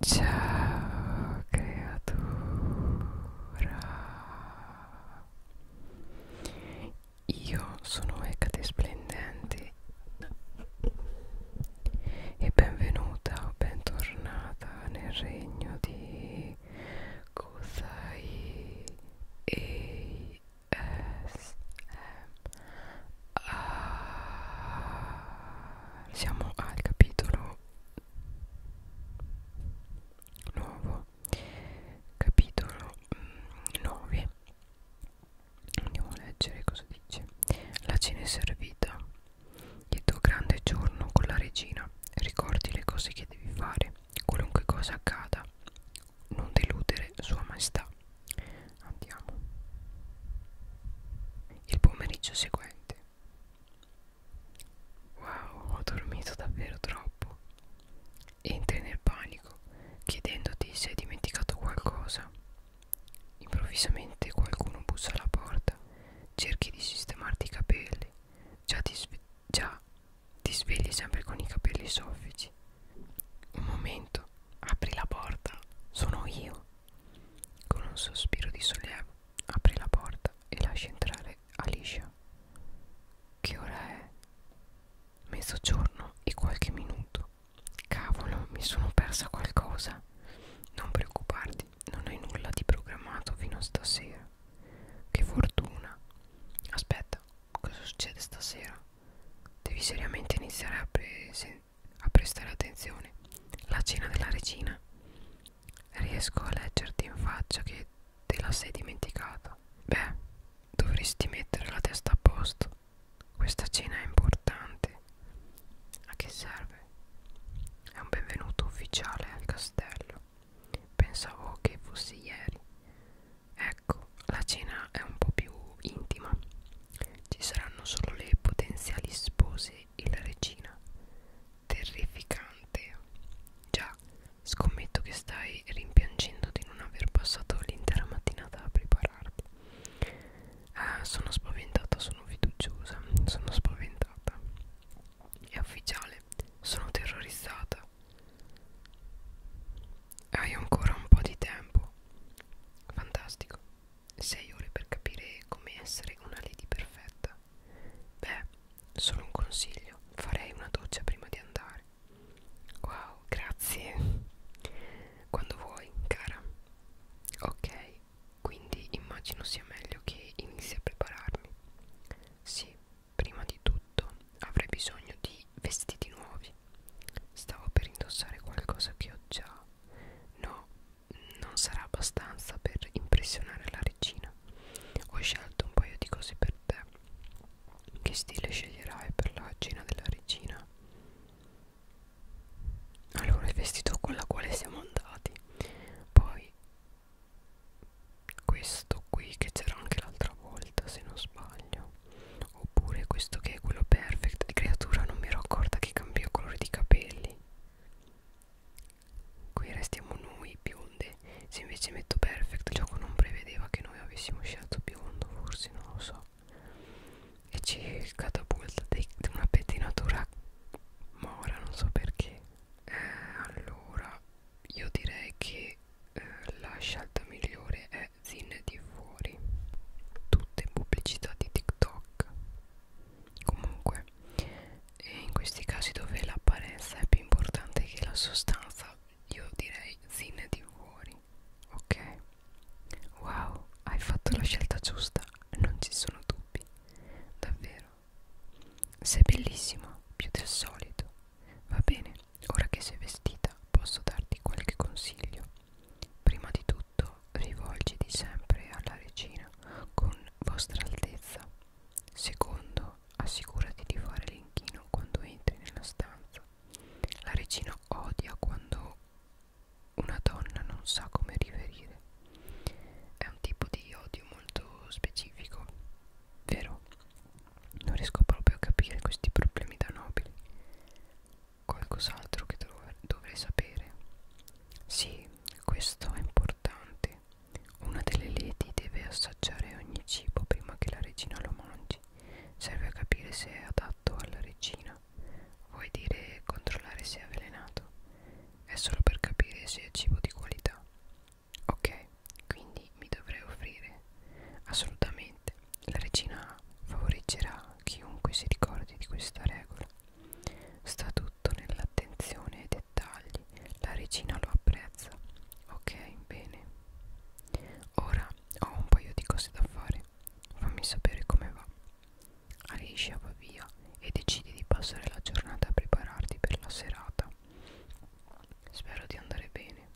Ciao creatura Io sono Ecate Splendente e benvenuta o bentornata nel regno di Kusai e S -M -A. Siamo al capitolo nuovo capitolo 9 mm, andiamo a leggere cosa dice la cena è servita il tuo grande giorno con la regina ricordi le cose che devi fare qualunque cosa accada non deludere sua maestà andiamo il pomeriggio seguente Wow, ho dormito davvero troppo. Entri nel panico, chiedendoti se hai dimenticato qualcosa. Improvvisamente qualcuno bussa alla porta, cerchi di sistemarti i capelli, già ti, già ti svegli sempre con i capelli soffici. Un momento, apri la porta, sono io. Con un sospiro di sollievo Apri la porta e lasci entrare Alicia. Che ora è? Mezzogiorno e qualche minuto. Cavolo, mi sono persa qualcosa. Non preoccuparti, non hai nulla di programmato fino a stasera. Che fortuna. Aspetta, cosa succede stasera? Devi seriamente iniziare a, prese a prestare attenzione la cena della regina riesco a leggerti in faccia che te la sei dimenticata beh dovresti mettere la testa a posto questa cena è importante a che serve è un benvenuto ufficiale al castello pensavo che fosse ieri ecco la cena è un po' più intima ci saranno solo le potenziali spose re e la regina terrificante già scommetto che stai rimpiangendo di non aver passato l'intera mattinata a prepararti ah, sono spaventata sono fiduciosa sono spaventata è ufficiale sono terrorizzata hai ancora un po' di tempo fantastico 6 ore per capire come essere una lady perfetta. Beh, solo un consiglio, farei una doccia prima di andare. Wow, grazie. Quando vuoi, cara. Ok, quindi immagino sia meglio che inizi a prepararmi. Sì, prima di tutto avrei bisogno di vestiti nuovi. Stavo per indossare qualcosa che ho già. No, non sarà abbastanza per impressionare la regina. Ho scelto un paio di cose per te. Che stile sceglierai per la cena della regina? Allora, il vestito con la quale siamo andati. Poi questo qui che c'era anche l'altra volta, se non sbaglio. Oppure questo che è quello perfect. Di creatura non mi ero accorta che cambiò colore di capelli. Qui restiamo noi bionde. Se invece metto perfect, il gioco non prevedeva che noi avessimo scelto biondo, forse non lo so. E ci catapulta di una pettinatura mora, non so perché. Eh, allora, io direi che eh, la scelta migliore è Zin di fuori. Tutte pubblicità di TikTok. Comunque, e in questi casi dove l'apparenza è più importante che la sostanza io direi zine di fuori ok wow hai fatto la scelta giusta non ci sono dubbi davvero sei bellissima più del solito va bene ora che sei vestita posso darti qualche consiglio prima di tutto tutto rivolgiti sempre alla regina con vostra altezza. Secondo, assicurati di fare l'inchino quando entri nella stanza. La regina odia quando una donna non sa come riverire. È un tipo di odio molto specifico, vero? Non riesco proprio a capire questi problemi da nobili. Qualcos'altro che dov dovrei sapere sì, questo è importante. Una delle lady deve assaggiare ogni cibo prima che la regina lo mangi. Serve a capire se è adatto alla regina. Vuoi dire controllare se è avvelenato? È solo per capire se è cibo di qualità. Ok, quindi mi dovrei offrire? Assolutamente. La regina favoreggerà chiunque si ricordi di questa regola. Sta tutto nell'attenzione ai dettagli, la regina lo apprezza. Ok, bene. Ora ho un paio di cose da fare. Fammi sapere come va. Alicia va via e decidi di passare la giornata a prepararti per la serata. Spero di andare bene.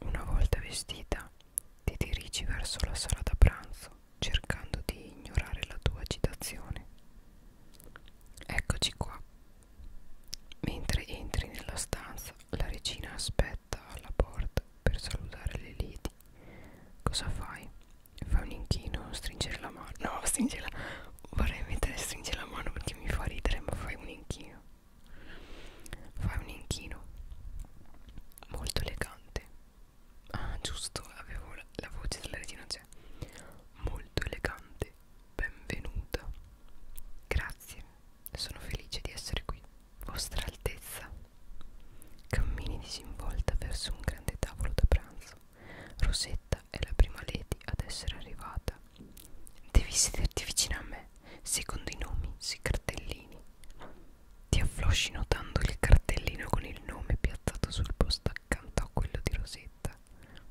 Una volta vestita, ti dirigi verso la sala da pranzo cercando di ignorare la tua agitazione. Eccoci qua. Mentre entri nella stanza, la regina aspetta alla porta per salutare le liti. Cosa fai? Fai un inchino, stringere la mano. No, stringe la Vorrei mettere stringere la mano perché mi fa ridere, ma fai un inchino. Fai un inchino molto elegante Ah giusto, avevo la, la voce della retina c'è cioè, Molto elegante, benvenuta Grazie, sono felice di essere qui Vostra Altezza Cammini disinvolta verso un grande tavolo da pranzo Rosetta è la prima lady ad essere arrivata Devi sederti vicino a me Secondo i nomi sui cartellini ti afflosci notando il cartellino con il nome piazzato sul posto accanto a quello di Rosetta.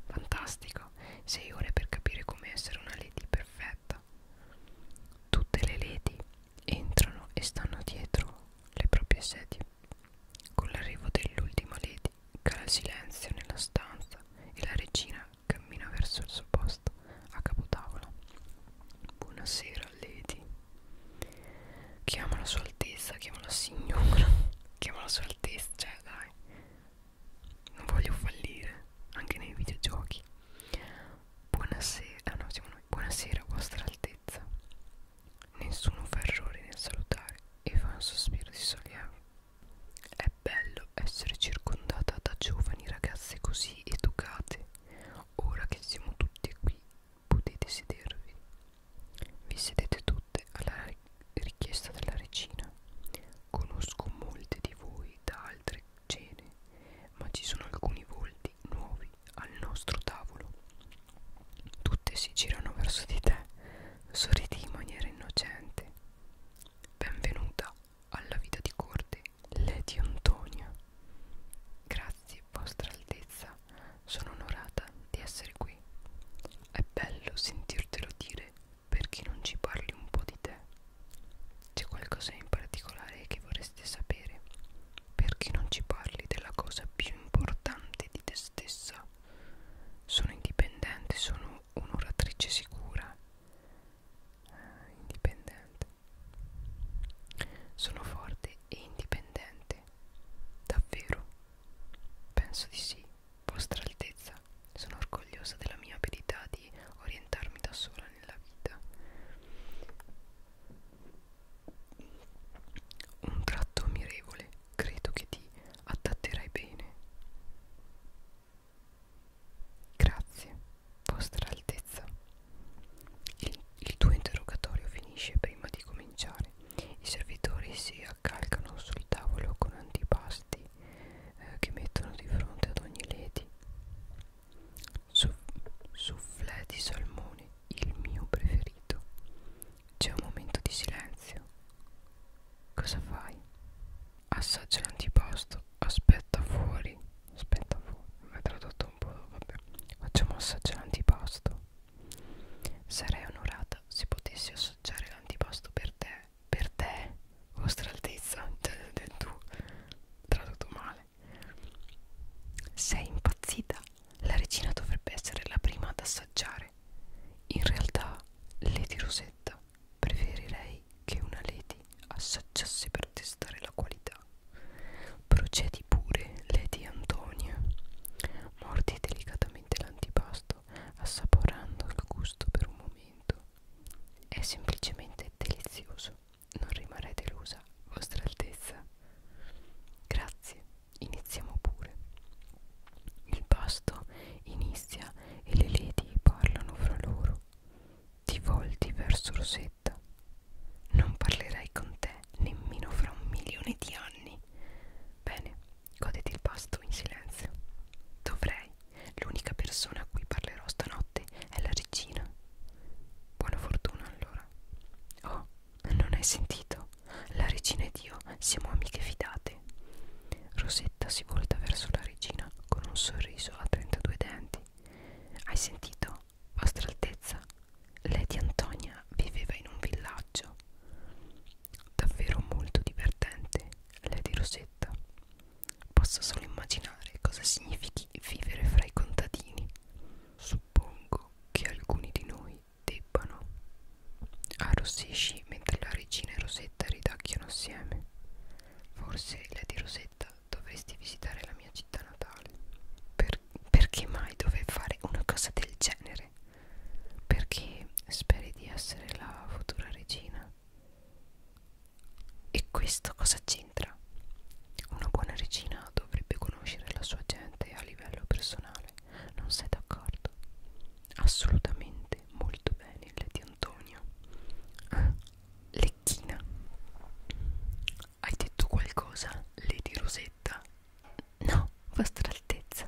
Fantastico, sei ore per capire come essere una lady perfetta. Tutte le lady entrano e stanno dietro le proprie sedie. Con l'arrivo dell'ultima lady cala il silenzio nella stanza e la regina cammina verso il suo posto a capotavola. Buonasera, lady, Chiama la sua altezza, chiama la signora, chiama la sua altezza, cioè dai, non voglio fallire, anche nei videogiochi. Buonasera, no, siamo noi. Buonasera, vostra altezza. Nessuno fa errore nel salutare e fa un sospiro di sollievo. È bello essere circondata da giovani ragazze così educate. Ora che siamo tutti qui potete sedervi. Vi sedete tutte alla richiesta della regina. Conosco molte di voi da altre cene, ma ci sono alcuni volti nuovi al nostro tavolo. Tutte si girano verso di te, sorridi in maniera innocente. Benvenuta alla vita di corte, Lady Antonia. Grazie, vostra altezza, sono onorata di essere qui. È bello sentirtelo dire perché non ci parli un po' di te. C'è qualcosa in particolare che vorresti sapere? Perché non ci parli della cosa più importante di te stessa? Sono indipendente, sono un'oratrice sicura. Eh, indipendente. Sono forte e indipendente. Davvero? Penso di sì, vostra altezza. Sono orgogliosa della mia abilità di orientarmi da sola nella vita. Un tratto ammirevole, credo che ti adatterai bene. Grazie, vostra altezza. Il, il tuo interrogatorio finisce prima di cominciare. I servitori si accalcano sul tavolo con antipasti eh, che mettono di fronte ad ogni lady. Soufflé di salmone, il mio preferito. C'è un momento di silenzio. Cosa fai? Assaggia l'antipasto, aspetta fuori. Aspetta fuori, mi ha tradotto un po', vabbè. Facciamo assaggiare l'antipasto. Sarei onorata se potessi assaggiare l'antipasto per te. Per te, vostra altezza, del, del tu, tradotto male. Sei impazzita? La regina dovrebbe essere la prima ad assaggiare. In realtà, Lady Rosetta, preferirei che una Lady assaggiasse per testare la qualità. Procedi pure, Lady Antonia. Mordi delicatamente l'antipasto, assaporando il gusto per un momento. È semplicemente delizioso. Non rimarrei delusa, vostra altezza. Grazie, iniziamo pure. Il pasto inizia e le lady parlano fra loro. Ti volti verso Rosetta non parlerai con te nemmeno fra un milione di anni. Bene, goditi il pasto in silenzio. Dovrei. L'unica persona a cui parlerò stanotte è la regina. Buona fortuna allora. Oh, non hai sentito? La regina ed io siamo amiche fidate. Rosetta si volta verso la regina con un sorriso a 32 denti. Hai sentito? Vostra Altezza, Lady Antonia viveva in un villaggio davvero molto divertente, Lady Rosetta. Posso solo immaginare cosa significhi vivere fra i contadini. Suppongo che alcuni di noi debbano. Arrossisci mentre la regina e Rosetta ridacchiano assieme. Forse, Lady Rosetta, dovresti visitare la mia città natale per per, perché mai dovevi fare una cosa del genere? Perché speri di essere la futura regina? E questo cosa c'entra? Una buona regina dovrebbe conoscere la sua gente a livello personale, non sei d'accordo? Assolutamente, molto bene il di Antonio. Ah, Lecchina. Hai detto qualcosa, Lady Rosetta? No, vostra altezza.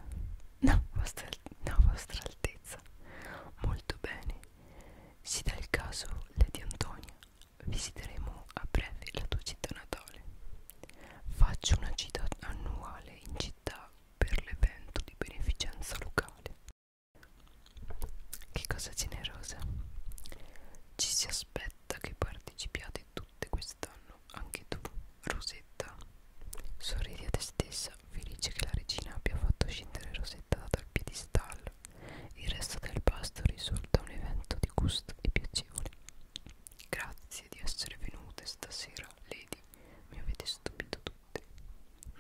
No, vostra, no, vostra altezza. Molto bene. Se dà il caso, Lady Antonia, visiteremo a breve la tua città natale. Faccio una gita annuale in città per l'evento di beneficenza locale. Che cosa generosa. Ci si aspetta che partecipiate tutte quest'anno anche tu, Rosetta. Sorridi a te stessa, felice che la regina abbia fatto scendere Rosetta dal piedistallo. Il resto del pasto risulta un evento di gusto e piacevole. Grazie di essere venute stasera, Lady. Mi avete stupito tutte.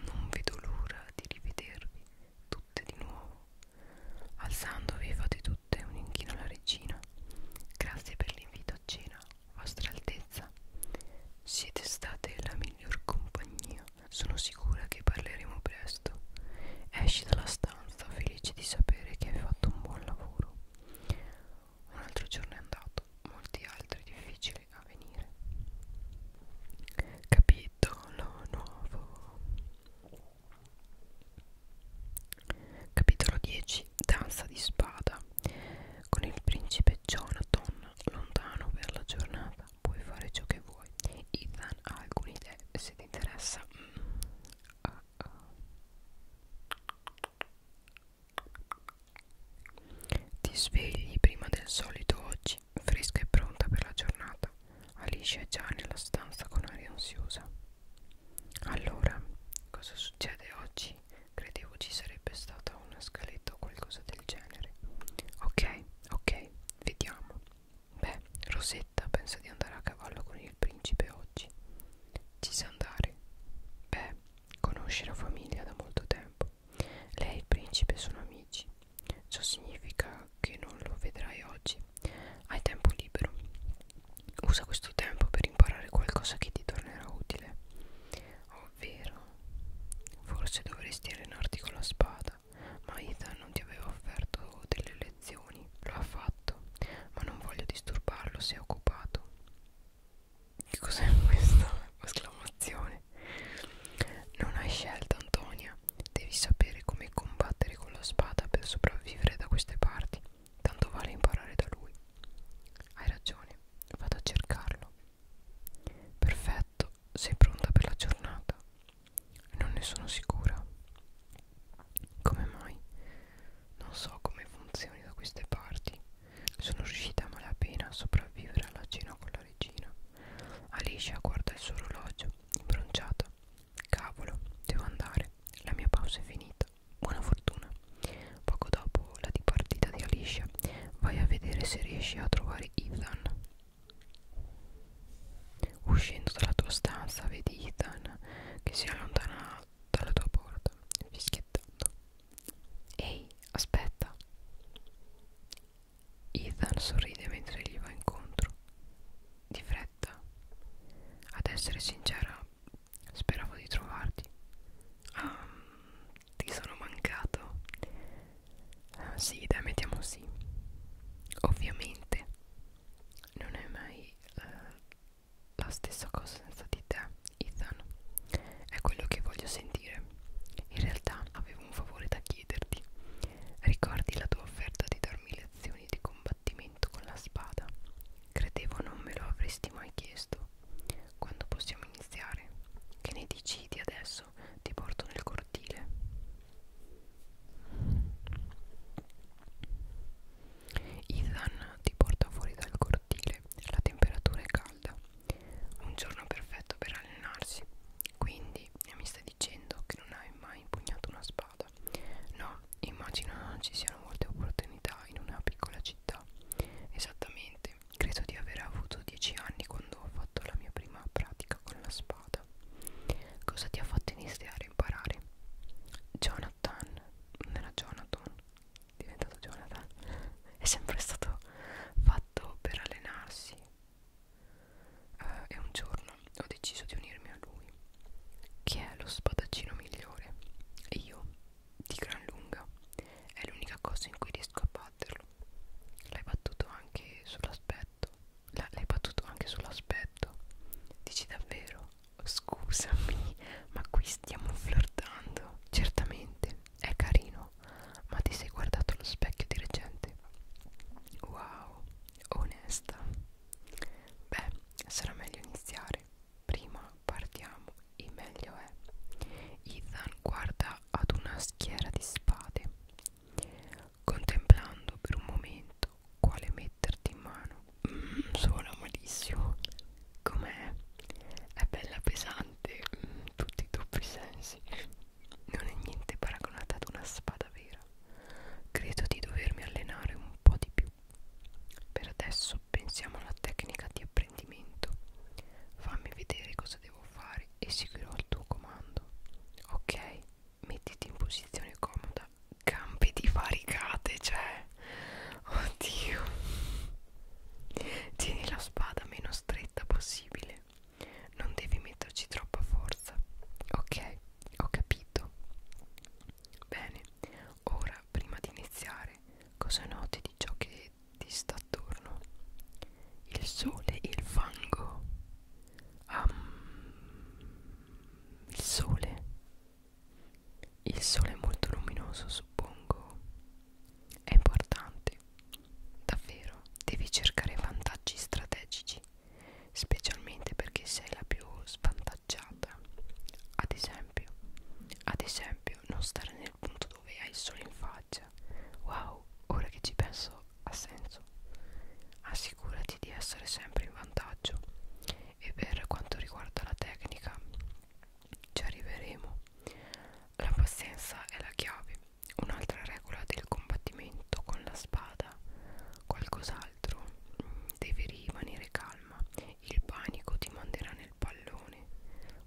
Non vedo l'ora di rivedervi tutte di nuovo. Alzandovi fate tutte un inchino alla regina Grazie per l'invito a cena, Vostra Altezza. Siete state la miglior compagnia. Sono sicura che parleremo presto. Esci dalla stanza felice di sapere che hai fatto un buon lavoro. Un altro giorno è andato, molti altri difficili a venire. Capitolo nuovo. Capitolo 10 Danza di spada Con il principe Jonathan lontano per la giornata Puoi fare ciò che vuoi Ethan ha alcune idee Se ti interessa mm. ah, ah. Ti svegli prima del solito oggi Fresca e pronta per la giornata Alice è già nella stanza con aria ansiosa allora, cosa succede oggi? Credevo ci sarebbe stata una scaletta o qualcosa del genere. Ok, ok, vediamo. Beh, Rosetta pensa di andare a cavallo con il principe oggi. Ci sa andare? Beh, conosce la famiglia da molto tempo. Lei e il principe sono amici. Ciò significa che non lo vedrai oggi. Hai tempo libero. Usa questo tempo per imparare qualcosa che ti tornerà utile. Ovvero, forse dovresti allenarti con la spada, ma Ethan non ti aveva offerto delle lezioni. Lo ha fatto, ma non voglio disturbarlo se è occupato. Che cos'è questa esclamazione? Non hai scelta, Antonia. Devi sapere come combattere con la spada per sopravvivere da queste parti. Tanto vale imparare da lui. Hai ragione, vado a cercarlo. Perfetto, sei pronta per la giornata? Non ne sono sicura. Come mai? Non so come funzioni da queste parti. Sono riuscita a malapena a sopravvivere alla cena con la regina. Alicia guarda il suo orologio, imbronciata. Cavolo, devo andare. La mia pausa è finita. Buona fortuna. Poco dopo la dipartita di Alicia, vai a vedere se riesci a trovare Ethan. Uscendo dalla tua stanza, vedi Ethan che si allontana dalla tua porta, fischiettando. Ehi, aspetta. Ethan sorride mentre gli va incontro. Di fretta. Ad essere sincera, Speravo di trovarti. Ah, ti sono mancato. Ah, sì, dai, mettiamo sì. Ovviamente non è mai eh, la stessa cosa senza di te, Ethan. È quello che voglio sentire. In realtà avevo un favore da chiederti. Ricordi la tua offerta di darmi lezioni di combattimento con la spada? Credevo non me lo avresti mai chiesto. Quando possiamo iniziare? Che ne decidi adesso? Ti porto nel cortile. Ethan ti porta fuori dal cortile. La temperatura è calda. Un giorno perfetto per allenarsi. Quindi mi stai dicendo che non hai mai impugnato una spada? No, immagino ci siano molte opportunità in una piccola città. Esattamente, credo di aver avuto 10 anni quando ho fatto la mia prima pratica con la spada. Cosa ti ha fatto iniziare a imparare? Jonathan, non era Jonathan, è diventato Jonathan. È sempre stato fatto per allenarsi. Uh, e un giorno ho deciso di unirmi a lui. Chi è lo spadaccino migliore? Io, di gran lunga. È l'unica cosa in cui riesco a batterlo. L'hai battuto anche sull'aspetto. L'hai battuto anche sull'aspetto. Dici davvero? Scusami, ma qui stiamo flirtando. Certamente, è carino. Ma ti sei guardato allo specchio di recente? Wow, onesta. Beh, sarà meglio iniziare sempre prima partiamo e meglio è Ethan guarda ad una schiera di spade contemplando per un momento quale metterti in mano mm, suona malissimo com'è? è bella pesante mm, tutti i doppi sensi non è niente paragonata ad una spada vera credo di dovermi allenare un po' di più per adesso pensiamo alla tecnica di apprendimento. Fammi vedere cosa devo fare e seguirò il tuo comando. Ok, mettiti in posizione comoda. Campi di varicate, cioè. Oddio. Tieni la spada meno stretta possibile. Non devi metterci troppa forza. Ok, ho capito. Bene, Ora, prima di iniziare, cosa noti di ciò che ti sta attorno? Il sole e il fango. Um, il sole. Il sole è molto luminoso, suppongo. È importante. Davvero, devi cercare vantaggi strategici, specialmente perché sei la più svantaggiata bilanciata ad esempio ad esempio non stare nel punto dove hai il sole in faccia wow ora che ci penso ha senso assicurati di essere sempre in vantaggio e per quanto riguarda la tecnica ci arriveremo la pazienza è la chiave un'altra regola del combattimento con la spada qualcos'altro mm, devi rimanere calma il panico ti manderà nel pallone.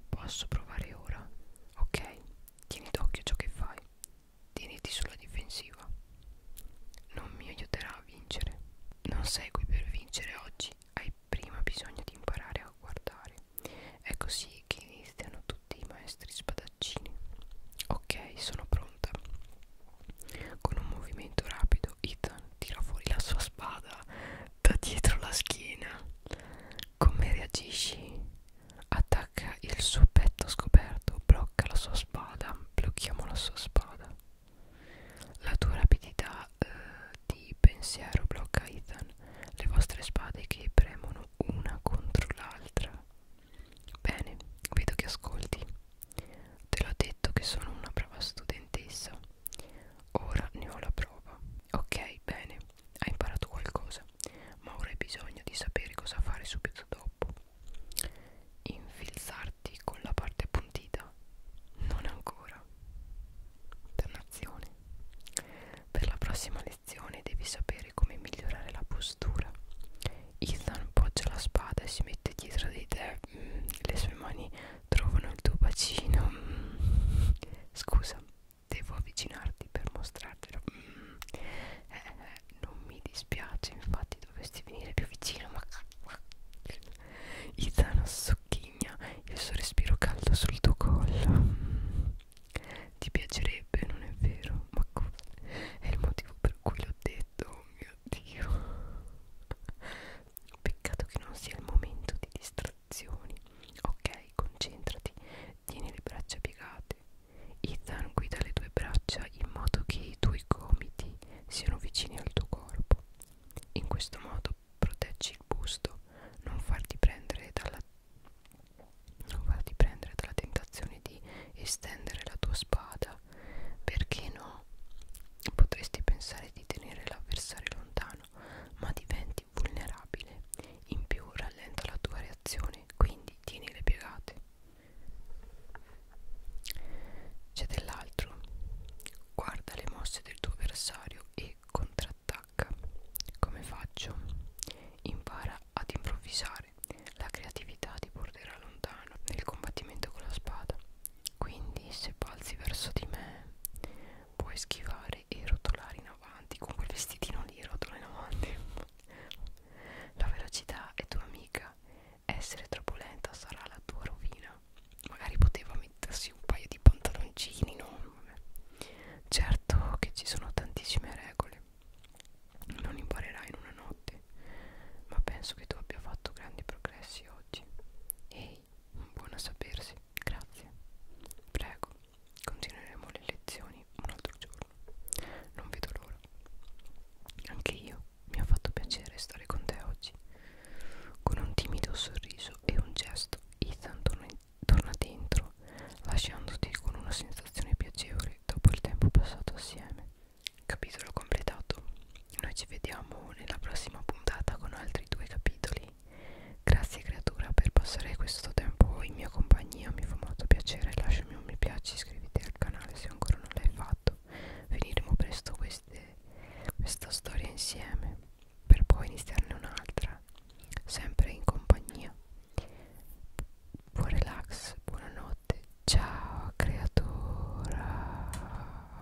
Posso provare ora? Ok, tieni d'occhio ciò che fai. Tieniti sulla difensiva. Non mi aiuterà a vincere. Non sei qui per vincere oggi. Hai prima bisogno di imparare a guardare. È così che iniziano tutti i maestri spadaccini. Ok, sono pronta. Con un movimento rapido, Ethan tira fuori la sua spada da dietro la schiena. Come reagisci? Attacca il suo petto scoperto, blocca la sua spada, blocchiamo la sua spada. La tua rapidità eh, di pensiero blocca Ethan, le vostre spade che premono una contro l'altra. Bene, vedo che ascolti. Te l'ho detto che sono una brava studentessa. Ora ne ho la prova. Ok, bene, hai imparato qualcosa, ma ora hai bisogno di sapere cosa fare subito dopo. Infilzarti con la parte appuntita? Non ancora. Dannazione. Per la prossima lezione devi sapere come migliorare la postura. Ethan poggia la spada e si mette dietro di te. Mm, le sue mani trovano il tuo bacino mm. scusa devo avvicinarti per mostrartelo mm. eh, eh non mi dispiace infatti dovresti venire più vicino ma Ethan socchigna il suo respiro caldo sul tuo collo mm. ti piacerebbe non è vero ma è il motivo per cui l'ho detto oh mio dio Peccato che non sia il momento di distrazioni. Ok, concentrati, tieni le braccia piegate. Ethan guida le tue braccia in modo che i tuoi gomiti siano vicini al tuo corpo. In questo modo proteggi il busto, non farti prendere dalla, non farti prendere dalla tentazione di estendere la tua spada. Perché no? Potresti pensare di tenere l'avversario lontano, ma diventi vulnerabile. In più rallenta la tua reazione, quindi tieni le piegate. C'è dell'altro. Guarda le mosse del tuo avversario e contrattacca. Come faccio? Impara ad improvvisare. La creatività ti porterà lontano nel combattimento con la spada. Quindi se balzi verso di me puoi schivare e rotolare in avanti con quel vestitino lì rotola in avanti. la velocità è tua amica, essere troppo lenta sarà la tua rovina. Magari poteva mettersi un paio di pantaloncini, no? Certo che ci sono tantissime regole, non imparerai in una notte, ma penso che tu abbia fatto grandi progressi oggi. E buona a sapersi, grazie. Prego, continueremo le lezioni un altro giorno. Non vedo l'ora. Anche io mi ha fatto piacere stare con te oggi. Con un timido sorriso e un gesto, Ethan torna, torna dentro, lasciandoti con una sensazione piacevole dopo il tempo passato assieme. Capitolo completato. Noi ci vediamo nella prossima puntata con altri due capitoli. Grazie creatura per passare questo tempo in mia compagnia, mi fa molto piacere, lasciami un mi piace, iscriviti al canale se ancora non l'hai fatto. Finiremo presto queste, questa storia insieme per poi iniziarne un'altra, sempre in compagnia. Buon relax, buonanotte, ciao creatura.